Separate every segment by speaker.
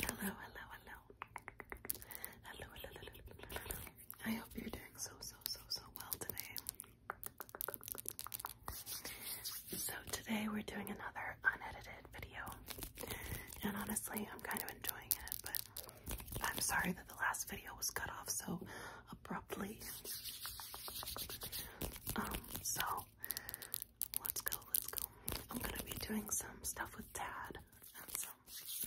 Speaker 1: Hello, hello, hello. Hello, hello, hello, I hope you're doing so, so, so, so well today. So today we're doing another unedited video. And honestly, I'm kind of enjoying it, but I'm sorry that the last video was cut off so abruptly. Um, so Let's go, let's go. I'm gonna be doing some stuff with Dad and some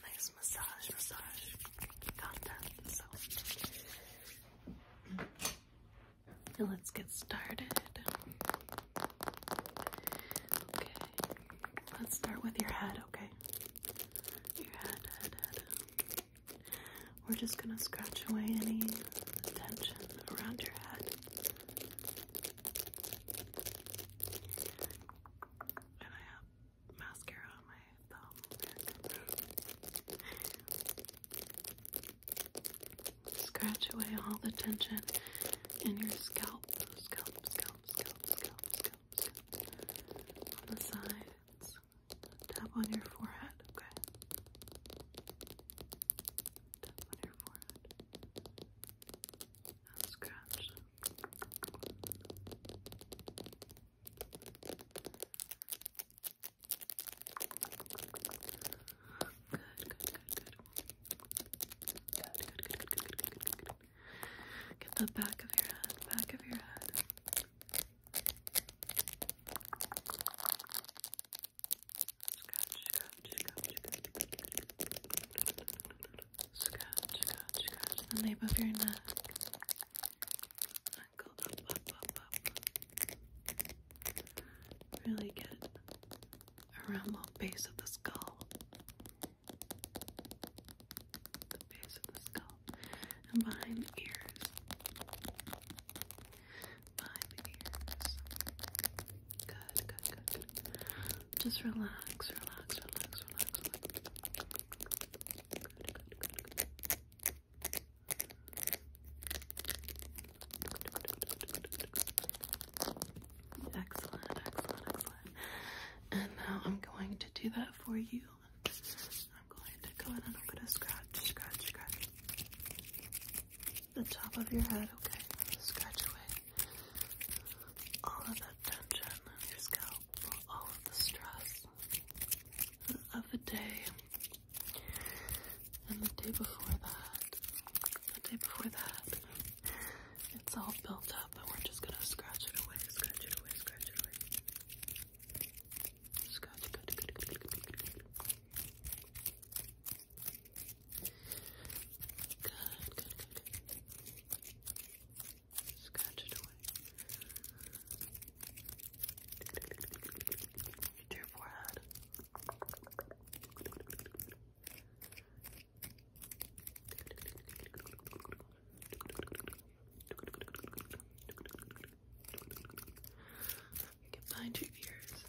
Speaker 1: nice massage, massage content. So let's get started. Okay, let's start with your head, okay? Your head, head, head. We're just going to scratch away any tension around your head. And I have mascara on my thumb. Scratch away all the tension in your scalp, scalp, scalp, scalp, scalp, scalp, scalp, on the sides, Tap on your forehead, okay? Tap on your forehead. Now scratch. Good, good, good, good. Good, good, good, good, good, good, good. Get the back of your head, back of your head scratch, scratch the nape of your neck. Really get around the base of the skull. The base of the skull. And behind the ears five ears. Good, good, good, Just relax, relax, relax, relax, Excellent, excellent, excellent. And now I'm going to do that for you I'm going to go in a little bit of scratch, scratch, scratch. The top of your head, okay? Scratch away all of that tension on your scalp, all of the stress of the day and the day before that, the day before that. It's all built up, and we're just gonna scratch it away, scratch it away, scratch it away. Scratch, good, good, good, good, good, good, good. Good, good, good, good. Scratch it away. To your forehead. You your ears.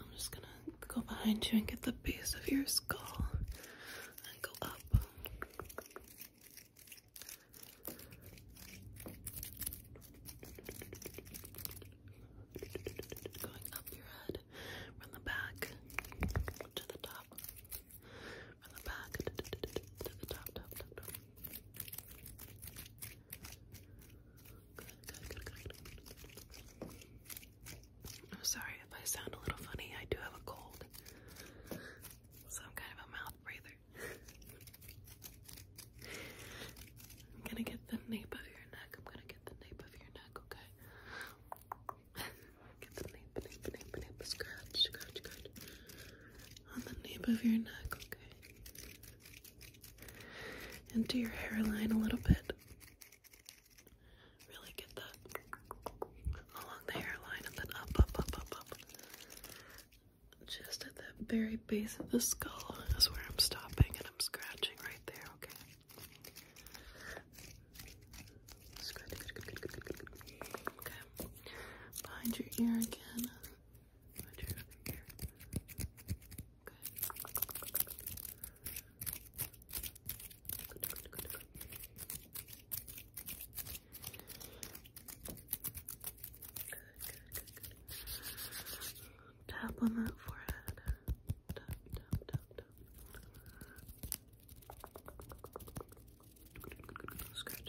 Speaker 1: I'm just gonna go behind you and get the base of your skull and go up. Going up your head from the back to the top. From the back to the top, top, top, top. I'm sorry if I sound a little funny. I do have a cold, so I'm kind of a mouth breather. I'm gonna get the nape of your neck. I'm gonna get the nape of your neck, okay? Get the nape, nape, nape, nape, scratch, scratch, scratch. On the nape of your neck, okay? Into your hairline a little bit. Really get that along the hairline and then up, up, up, up, up. Just at that very base of the skull is where I'm stopping and I'm scratching right there, okay? good, good, good, Behind your ear again. Tap on that forehead tap, tap, tap, tap. Scratch, scratch. Scratch,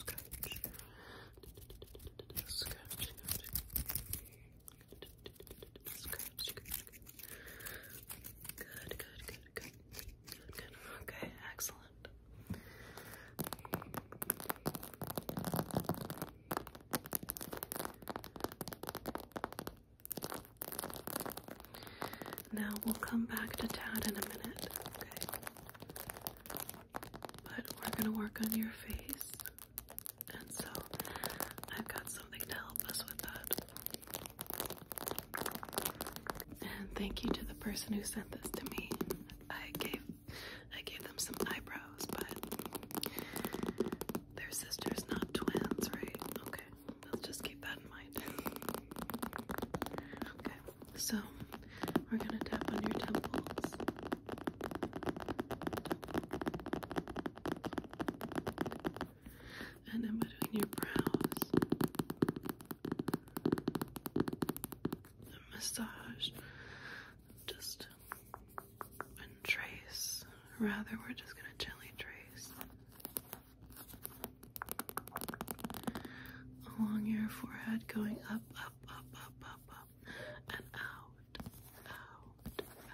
Speaker 1: scratch. Scratch, scratch. Good, good, good, good. Good, good. Okay, excellent. Now we'll come back to Tad in a minute, okay? But we're gonna work on your face, and so I've got something to help us with that. And thank you to the person who sent this to me. I gave I gave them some eyebrows, but they're sisters, not twins, right? Okay, let's just keep that in mind. Okay, so we're gonna tap on your temples. And then between your brows massage just and trace. Rather, we're just gonna gently trace along your forehead, going up, up, up, up, up, up, and out, out,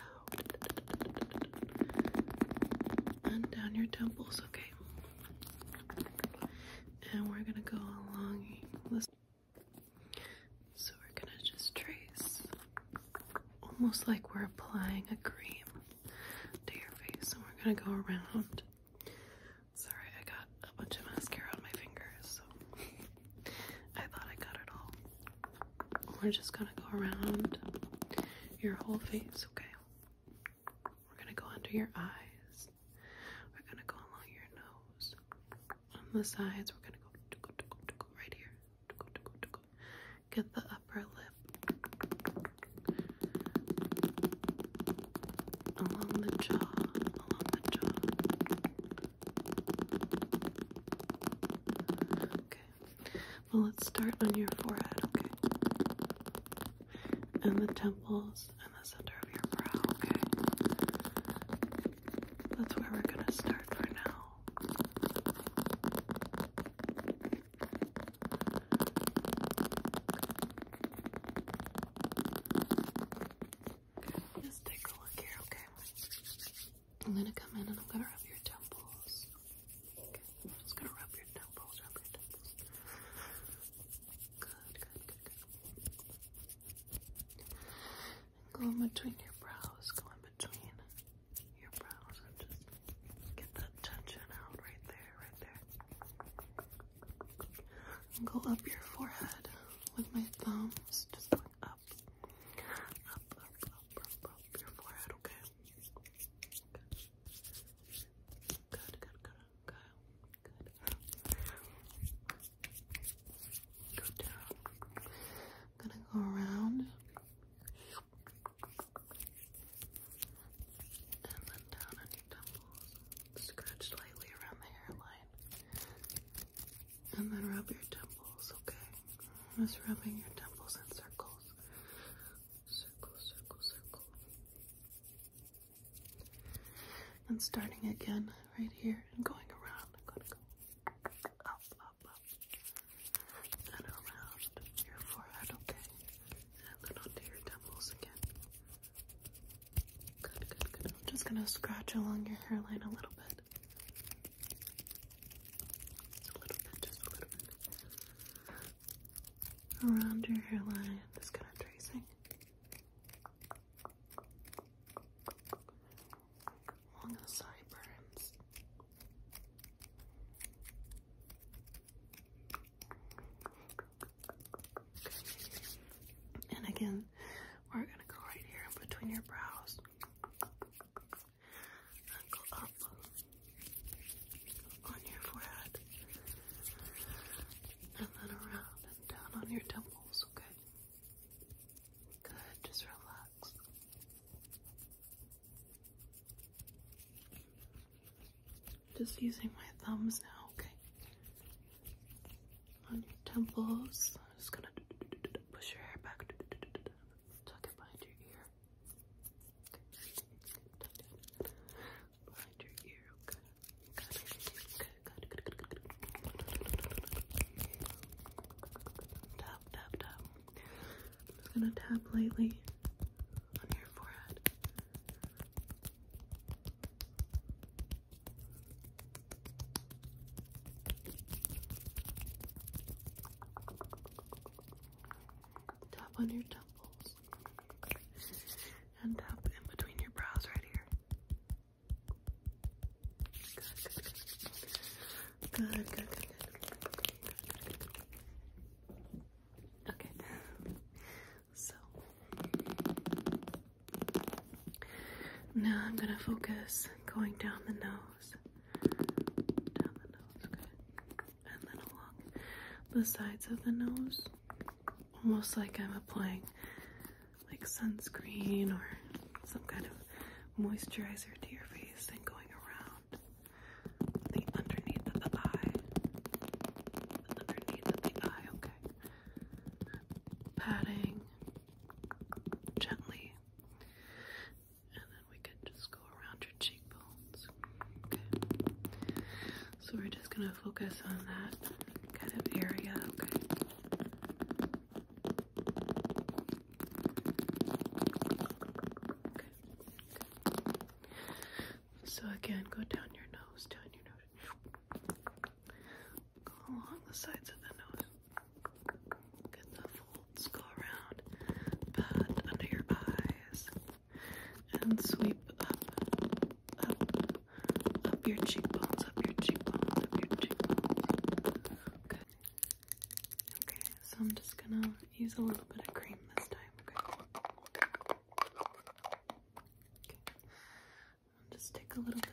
Speaker 1: out, and down your temples. Okay, and we're gonna go along this. So we're gonna just trace almost like we're applying a cream to your face and we're gonna go around. Sorry, I got a bunch of mascara on my fingers, so I thought I got it all. We're just gonna go around your whole face, okay? We're gonna go under your eyes. We're gonna go along your nose. On the sides, we're gonna go right here. Get the upper lip. Along the jaw. Along the jaw. Okay. Well, let's start on your forehead, okay? And the temples in the center of your brow, okay? That's where we're gonna start for now. just take a look here, okay? I'm gonna come in and I'm gonna rub your temples. Okay, I'm just gonna rub your temples, rub your temples. Go in between your brows, go in between your brows and just get that tension out right there, right there. go up your forehead with my thumbs, just up, up, up, up, up, your forehead, okay? Good, good, good, okay. Go down. gonna go around. And then down on your temples. Scratch lightly around the hairline. And then rub your temples, okay? Just rubbing your temples in circles. Circle, circle, circle. And starting again right here and going around. I'm going to go up, up, up, and around your forehead, okay? And then onto your temples again. Good, good, good. just going to scratch along your hairline a little bit. Just a little bit, just a little bit. Around your hairline, just kind of tracing along the sideburns. And again, we're going to go right here in between your brows. And go up on your forehead. And then around down on your temples, okay? Good, just relax. Just using my thumbs now, okay? On your temples. I'm just gonna push your hair back. Tuck it behind your ear behind your ear, okay? Good, good, good, good, good, good. Tap, tap, I'm just gonna tap lightly on your forehead. Tap on your temples and up in between your brows right here. Good, good, good. Good, good, good, good, good. Okay. So now I'm gonna focus going down the nose. Down the nose, okay. And then along the sides of the nose almost like I'm applying like sunscreen or some kind of moisturizer to your face and going around the underneath of the eye. underneath of the eye, okay. Patting gently. And then we can just go around your cheekbones. Okay. So we're just going to focus on that kind of area, okay? So again, go down your nose, down your nose. Go along the sides of the nose. Get the folds, go around, pat under your eyes, and sweep up, up, up, your cheekbones, up your cheekbones, up your cheekbones. Okay. Okay, so I'm just gonna use a little bit of cream this time, okay? just take a little bit. Okay.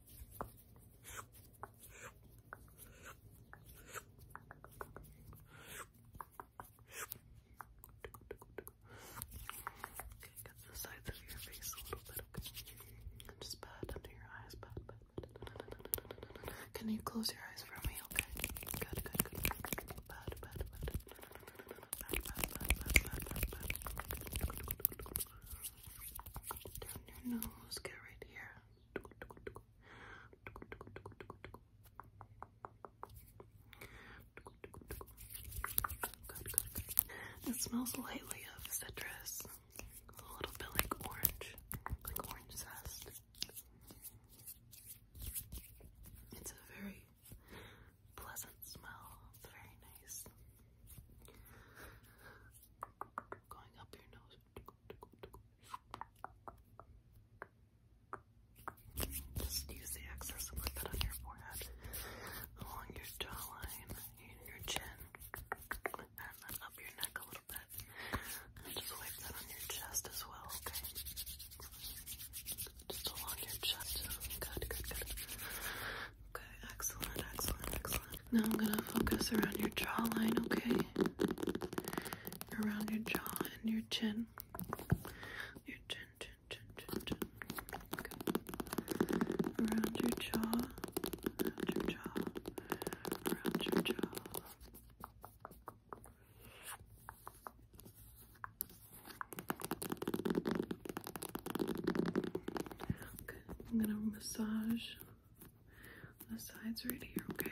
Speaker 1: Okay, get the sides of your face a little bit, just pat under your eyes, pat, pat, pat. Can you close your eyes for me, okay? Good, good, good. Pat, pat, pat. Pat, pat, pat, pat, pat, pat, pat. Down your nose, get right here. It smells lightly of citrus. A little bit like orange, like orange zest. It's a very pleasant smell. It's very nice going up your nose. Just use the excess and put that on your forehead, along your jawline, your chin, and up your neck a little bit. just wipe that on your chest as well, okay? Just along your chest. Good, good, good. Okay, excellent, excellent, excellent. Now I'm gonna focus around your jawline, okay? Around your jaw and your chin. Your chin, chin, chin, chin, Okay. Around your jaw, around your jaw, around your jaw. I'm gonna massage the sides right here, okay?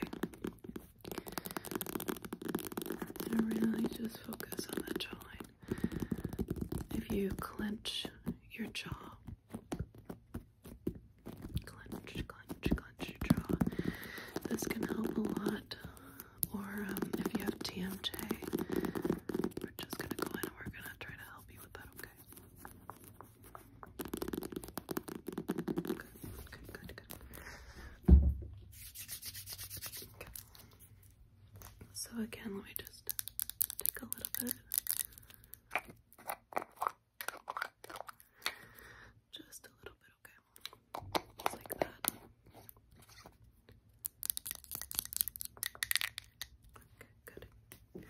Speaker 1: And really just focus on that jawline. If you clench your jaw, clench, clench, clench your jaw. This can help a lot. Or um, if you have TMJ, we're just gonna go in and we're gonna try to help you with that, okay? So again, let me just take a little bit. Just a little bit, okay? Just like that. Okay, good.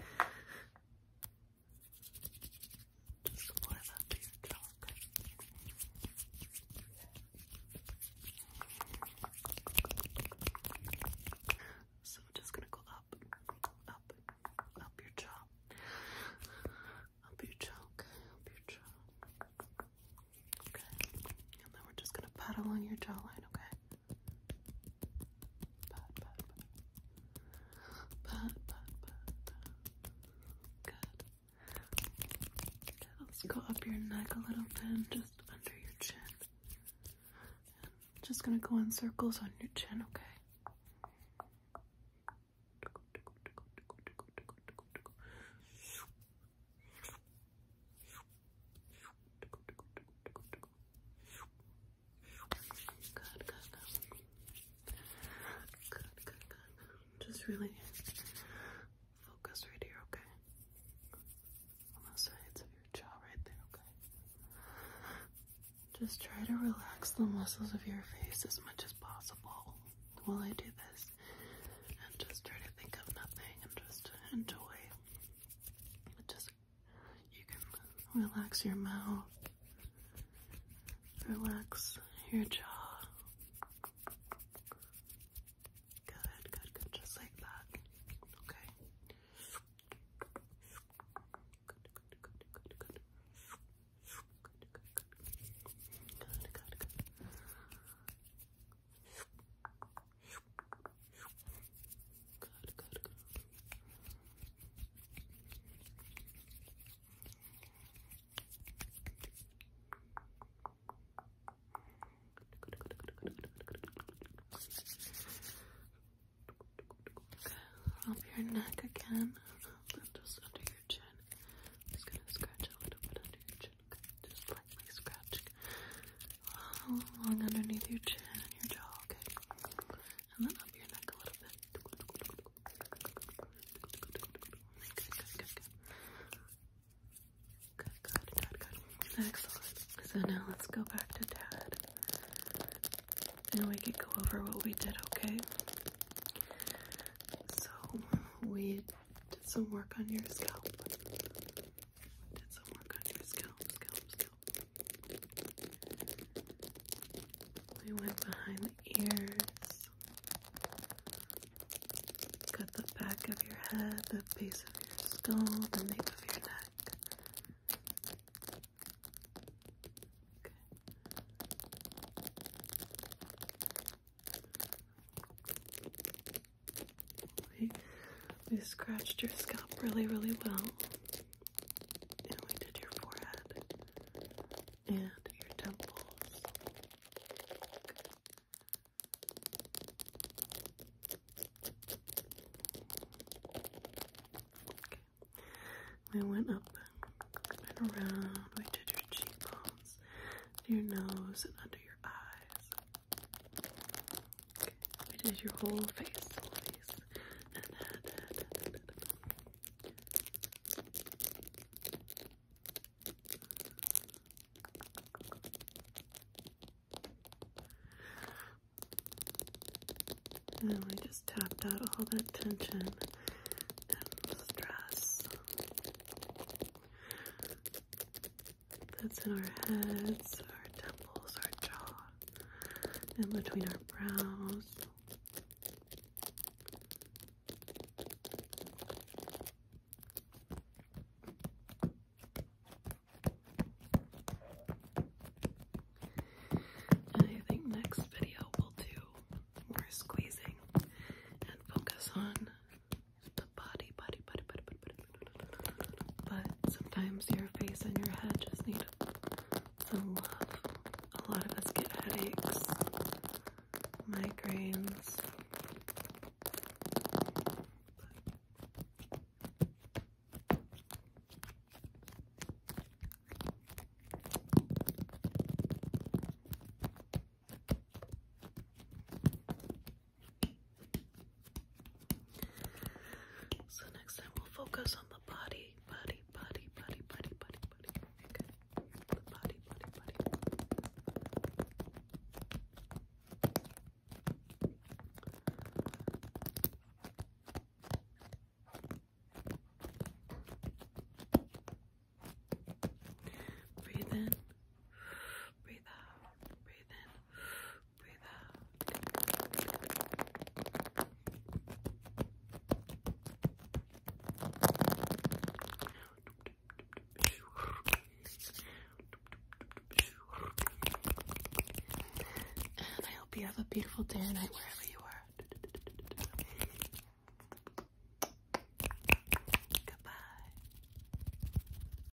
Speaker 1: Just apply that to So we're just gonna go up, up, up your jaw. Up your jaw, up your jaw. Okay and then we're just gonna pat along your jawline, okay? Pat, pat, pat. Pat, pat, pat. Good. Okay, let's go up your neck a little bit just under your chin. just gonna go in circles on your chin, okay? Just really focus right here, okay? On the sides of your jaw right there, okay? Just try to relax the muscles of your face as much as possible while I do this. And just try to think of nothing and just enjoy. Just you can relax your mouth, relax your jaw. Good, good, good, just like that. Okay. Good, your neck again, just under your chin. I'm gonna scratch a little bit under your chin, okay? just lightly scratching along underneath your chin and your jaw, okay? And then up your neck a little bit. Excellent. So now let's go back to dad. And we could go over what we did, okay? So we did some work on your scalp. Did some work scalp, scalp, scalp. We went behind the ears. Got the back of your head, the base of your skull, the nape of your neck. We, scratched your scalp really, really well. And we did your forehead and your temples. We went up and around. We did your cheekbones, your nose, and under your eyes. Okay. It is your whole face, face, and then we just tapped out all that tension and stress that's in our heads, our temples, our jaw, and between our brows. And I think next video we'll do more squeezing and focus on the body, body, body, but sometimes your face and your head just need some love. A lot of us get headaches, migraines. So next time we'll focus on the body, body, body, body, body, body, body. Okay. The body, body, body. Breathe in, breathe out, breathe in, Breathe out. And I hope you have a beautiful day or night wherever you are. Goodbye.